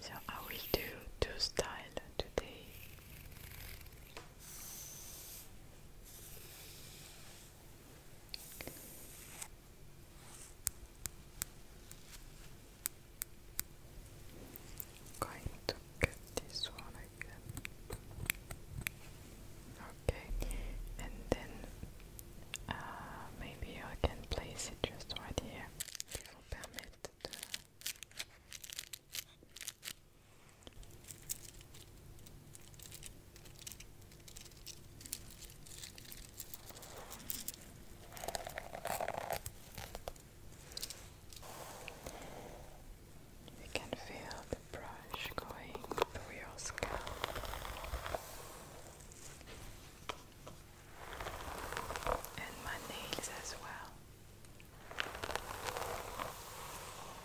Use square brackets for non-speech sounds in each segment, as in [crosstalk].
So I will do two styles today. Going to get this one again. Okay, and then uh, maybe I can place it just right here. You can feel the brush going through your scalp. And my nails as well.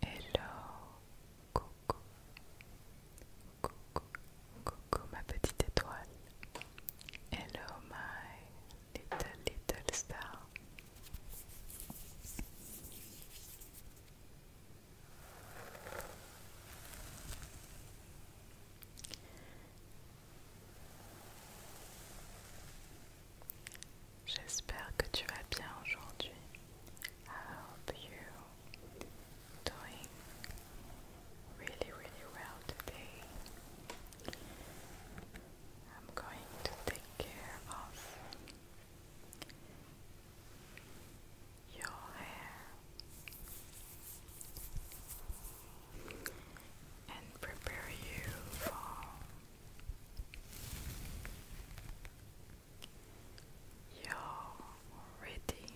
Hello, coucou, coucou, coucou ma petite étoile. Hello my little little star. I hope you doing really really well today. I'm going to take care of your hair and prepare you for your wedding,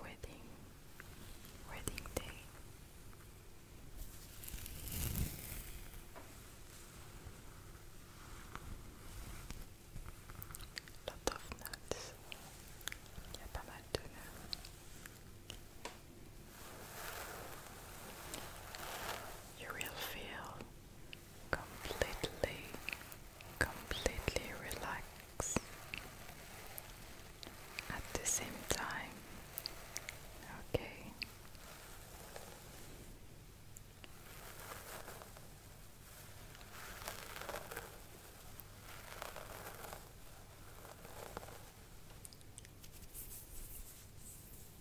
wedding, wedding day. Lot of nuts. Il y a pas mal you will feel completely, completely relaxed. At the same time, okay.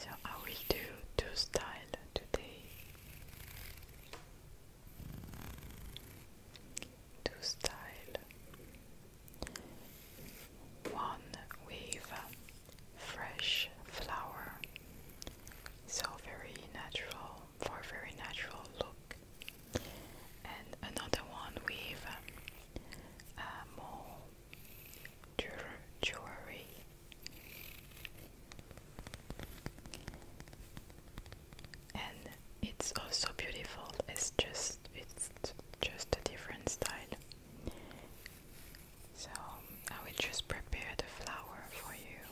So I will do two style today. Two style one with fresh flower, so very natural for a very natural look, and another one with uh, more jewelry. And it's also beautiful. It's just it's just a different style. So I will just prepare the flour for you.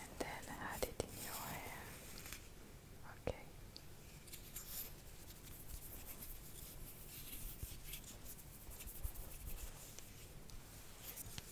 And then add it in your hair. Okay.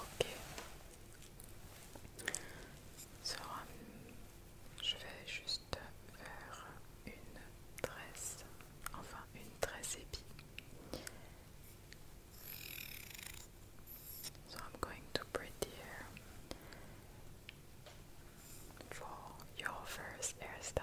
Ok. je vais juste faire une tresse, enfin une tresse épi. So I'm going to prepare for your first hairstyle.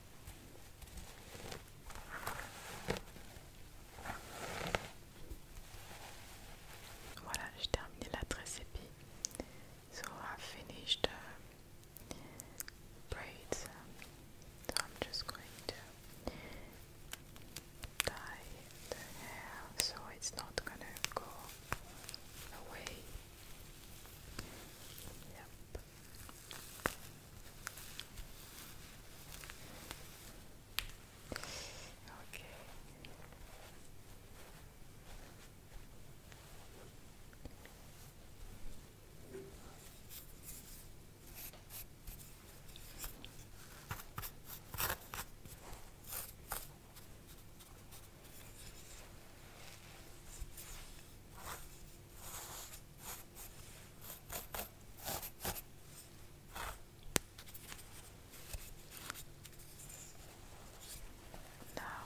Voilà, j'ai terminé la dress épée. So i finished euh, braids. So I'm just going to dye the hair so it's not gonna go away up. Okay. Okay. Now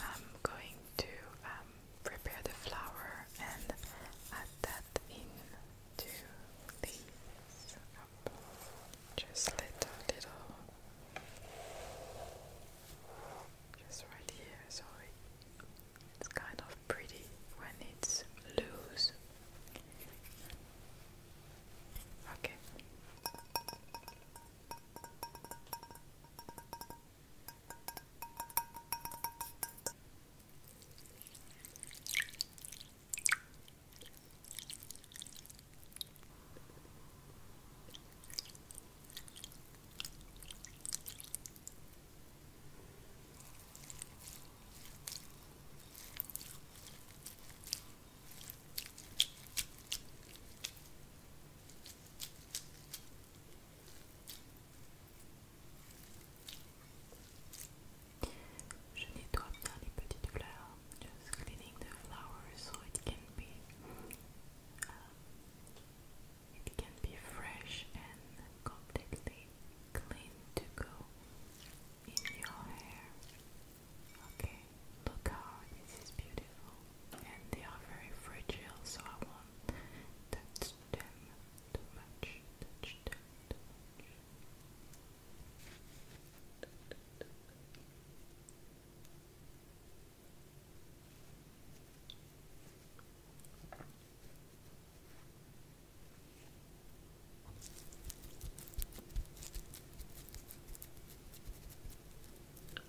I'm going to um, prepare the flour and add that into these just little little just right here so it's kind of pretty when it's loose. Okay. Je nettoie bien les petites fleurs. Just cleaning the flowers so it can be uh, it can be fresh and completely clean to go in your hair. Okay, look how this is beautiful. And they are very fragile, so I won't Touch them too much.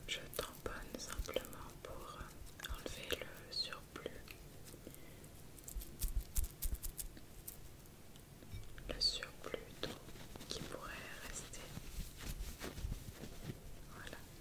Je tamponne simplement pour euh, enlever le surplus. Le surplus d'eau qui pourrait rester. Voilà.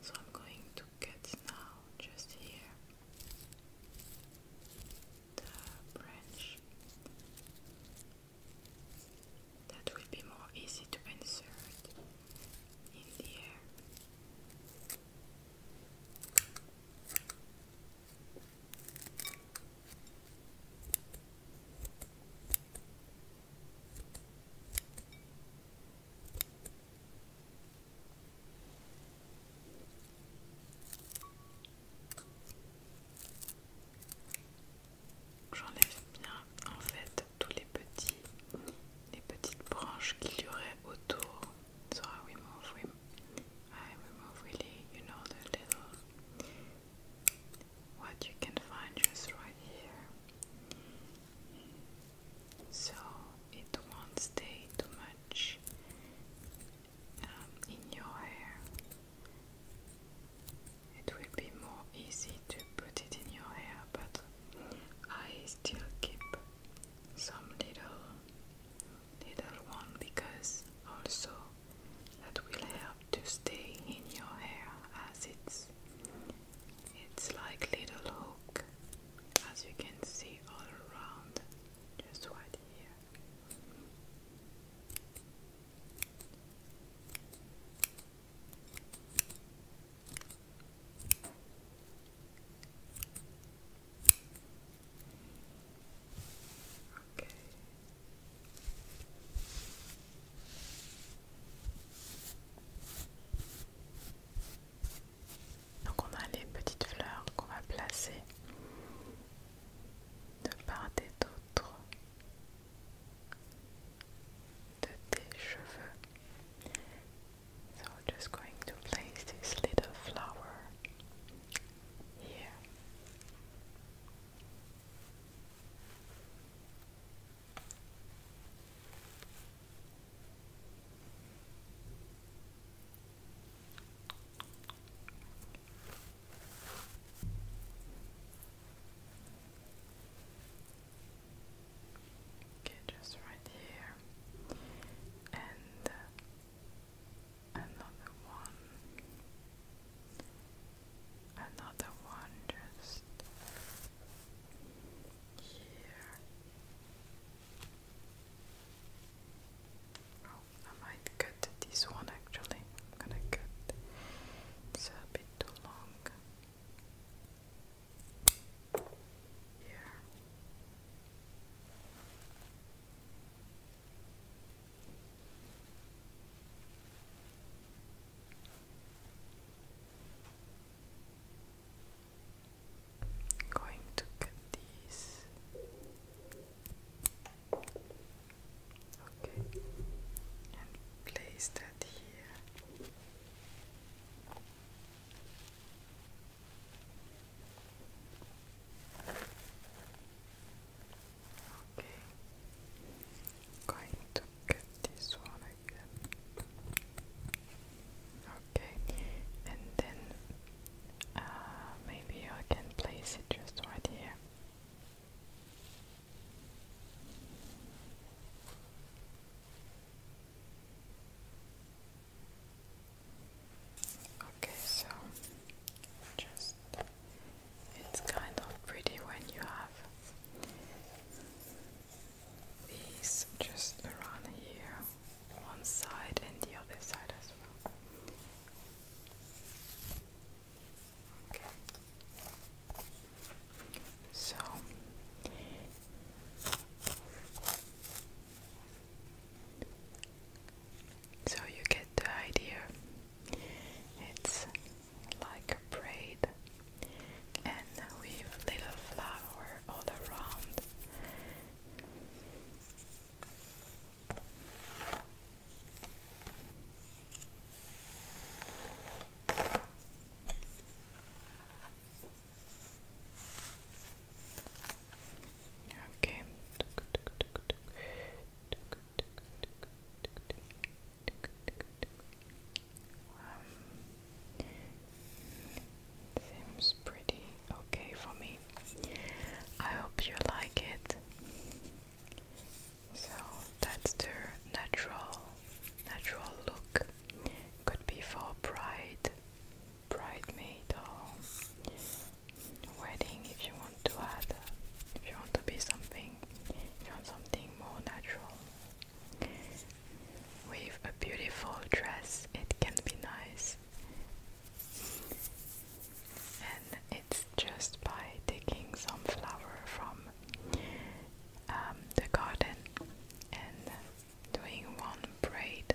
So I'm going to get now just here the branch. That will be more easy to insert in the air. J'enlève bien en fait tous les petits les petites branches qu'il y aurait autour. So how we move, we, I remove really, you know, the little what you can find just right here. so it won't stay too much um, in your hair. It will be more easy to put it in your hair, but I still keep some little little one because also that will help to stay in your hair as it's it's like little hook as you can see all around, just right here. Okay. Donc on a les petites fleurs qu'on va placer de part et d'autre de tes cheveux. So on just going to place this little flower here. Okay, just right here, and uh, another one, another one, just here. Oh, I might cut this one actually. I'm gonna cut. It's a bit too long. Here going to cut these. Okay, and place that here. Okay, going to get this one Okay, and then uh, maybe I can place it just right here. Okay, so just it's kind of pretty when you have these just around here, one side and the other side as well. Okay. So so you get the idea. It's like a braid and with little flowers all around. Okay. Um, seems pretty okay for me. I hope you like it. So that's the natural, natural look. Could be for bride, bridesmaid, or wedding. If you want to add, if you want to be something, you want something more natural. With a beautiful dress, it can be nice, and it's just by taking some flower from um, the garden and doing one braid.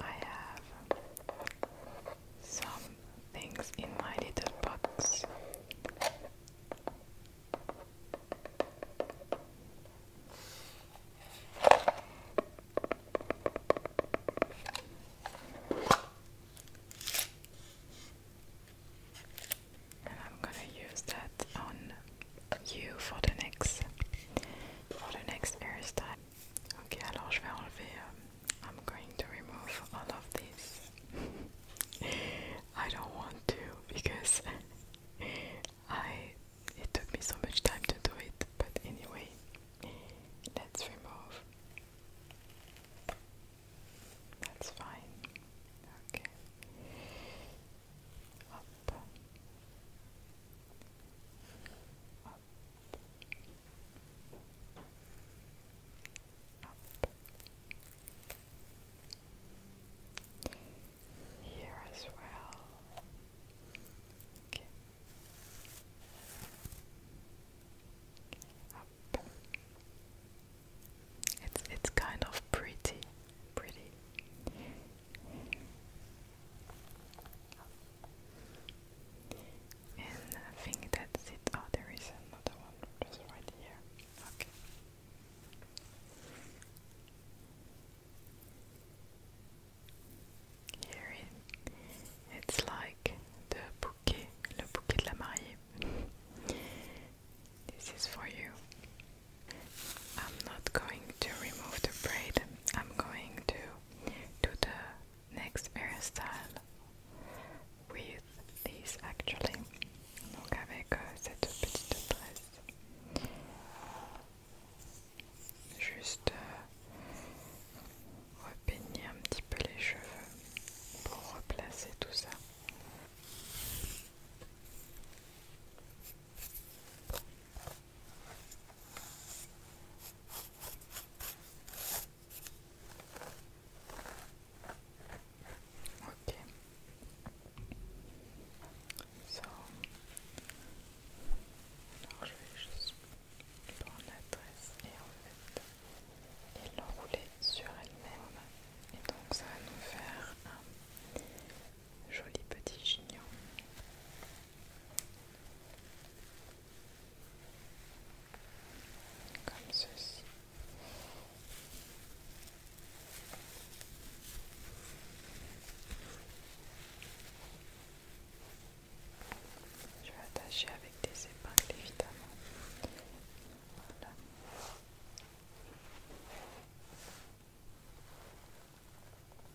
I have some things in my little box. And I'm gonna use that on you for the next for the next hairstyle. Ok, alors je vais enlever. Um, I'm going to remove all of this. [laughs] I don't want to because [laughs] I. It took me so much time to do it, but anyway, let's remove. That's fine. Okay. Up. Here as well. It's it's kind of pretty, pretty. And I think that's it. Oh, there is another one just right here. Okay. Here it, it's like the bouquet, le bouquet de la mariée. [laughs] This is for you. I'm not going to remove the braid. I'm going to to the next hairstyle with this actually donc avec cette petite tresse juste uh, repeigner un petit peu les cheveux pour replacer tout ça Ok, alors je vais juste prendre la tresse et en fait, et l'enrouler sur elle-même. Et donc ça va nous faire un joli petit chignon comme ceci. Je vais attacher avec des épingles évidemment.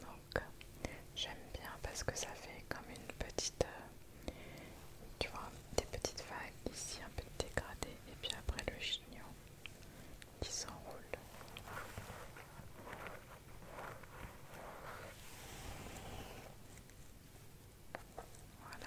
Donc j'aime bien parce que ça fait comme une petite, euh, tu vois, des petites vagues ici un peu dégradées et puis après le chignon qui s'enroule. Voilà.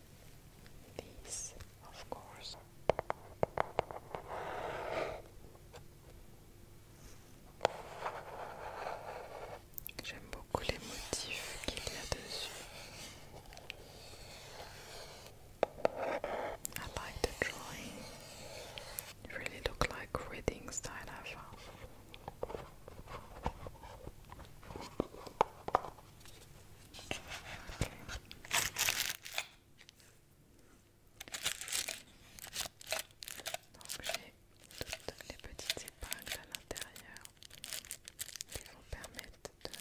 These, of course. I like the drawing. really look like reading style Donc j'ai toutes les petites épingles à l'intérieur qui vont permettre de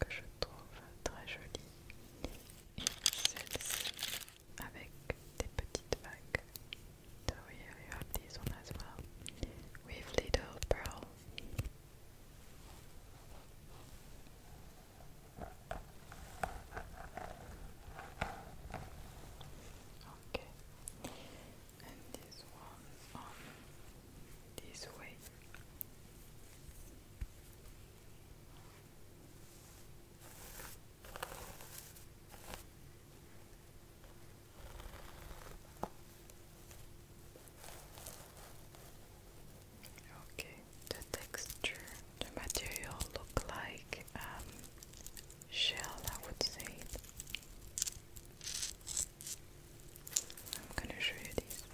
que je trouve très jolie. celle-ci avec have this one as with little pearl. Okay, and this one on this way. Okay, the texture, the material look like um, shell, I would say. I'm gonna show you these.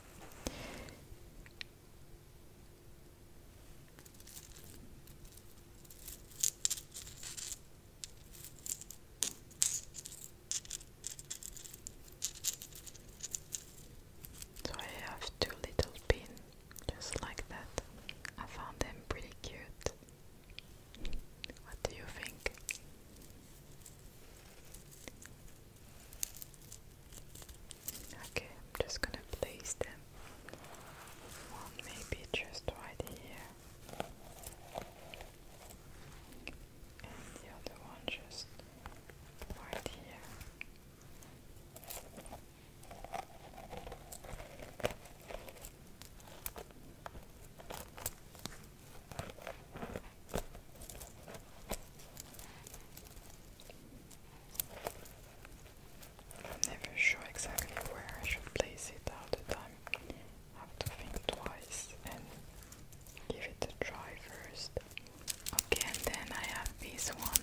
So I have two little pins just like that. I found them pretty cute. What do you think? Okay, I'm just gonna place them one maybe just right here. And the other one just right here. I'm never sure exactly where I should place it all the time. have to think twice and give it a try first. Okay, and then I have this one.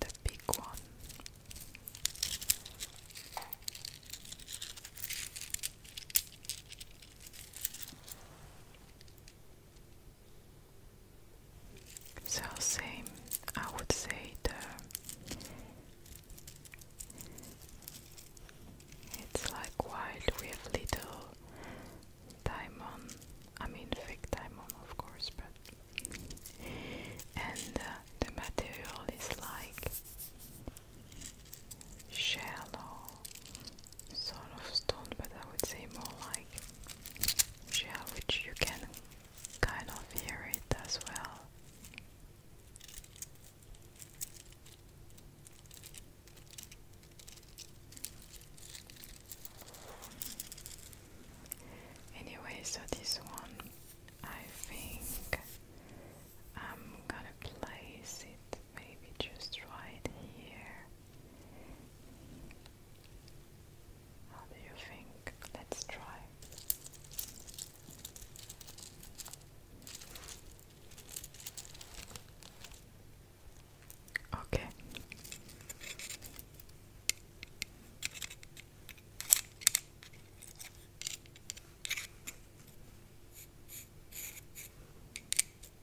The big one. So same, I would say the it's like wild with little diamond. I mean fake diamond, of course, but and uh, the material is like shallow sort of stone, but I would say more like yeah, which you can kind of hear it as well. Anyway, so this one, I think I'm gonna place it maybe just right here. How do you think? Let's try. Okay.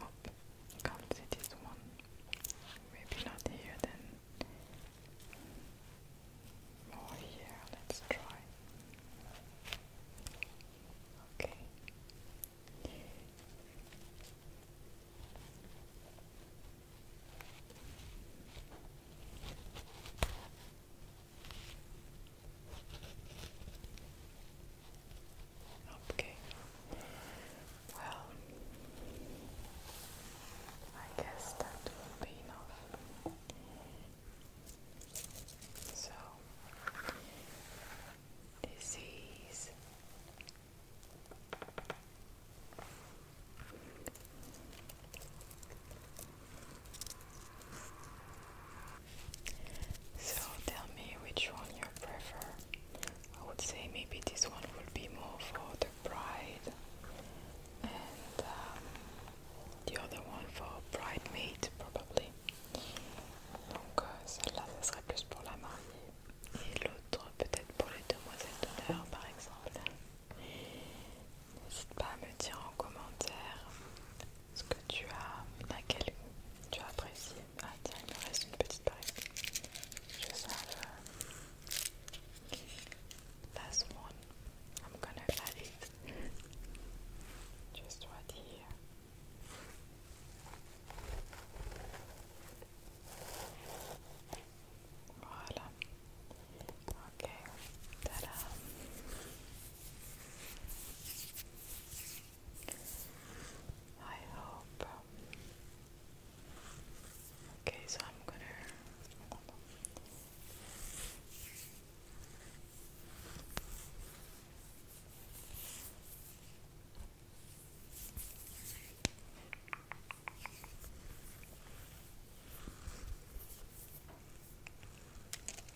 Oh, can't see this one. Maybe not here then. Or here, let's try. Okay. Okay. Well, I guess that will be enough. So, this is So tell me which one you prefer. I would say maybe this one would be more for the bride, and um, the other one for bride maid probably. Donc euh, celle-là, ça serait plus pour la mariée, et l'autre peut-être pour les demoiselles d'honneur par exemple. N'hésite pas à me dire en commentaire ce que tu as quel, tu as apprécié Ah tiens, il me reste une petite palette. Je savais. Last one. I'm gonna add it. Just right here. Voilà. Ok. Tada. I hope. Okay, so I'm gonna.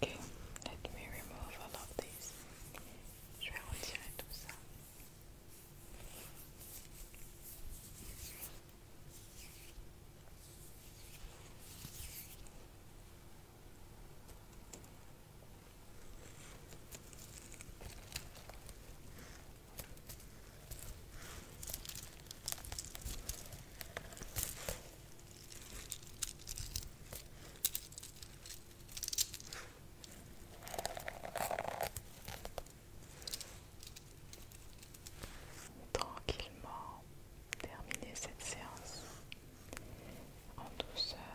Okay, let me remove all of these. Je vais retirer tout ça. Tranquillement terminer cette séance en douceur.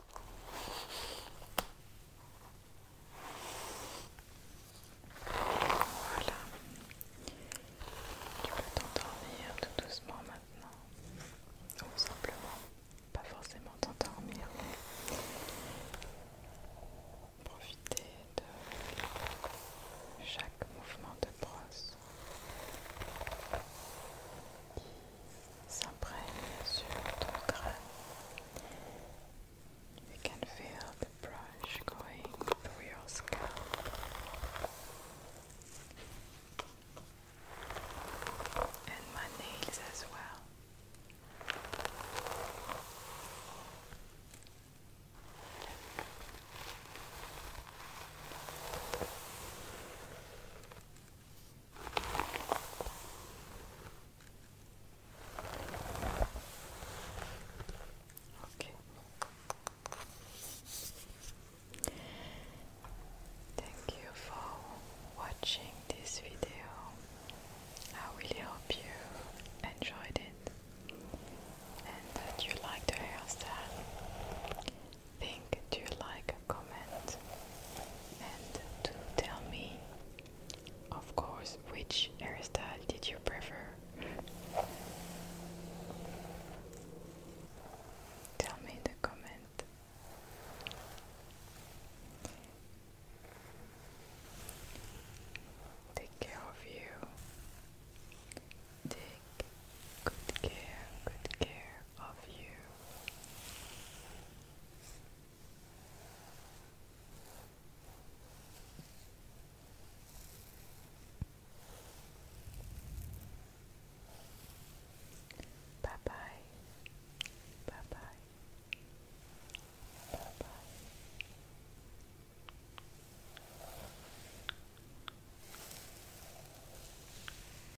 Voilà. Tu peux t'endormir tout doucement maintenant. Ou simplement, pas forcément t'endormir, mais profiter de chaque mouvement de brosse You can feel the brush going through your scalp. And my nails as well. Okay. Thank you for watching this video. I really hope you enjoyed it and that you liked the hairstyle think do you like comment and do tell me of course which hairstyle did you prefer tell me in the comment Take care of you. Take good care, good care, of you. Bye bye. Bye bye. Bye bye.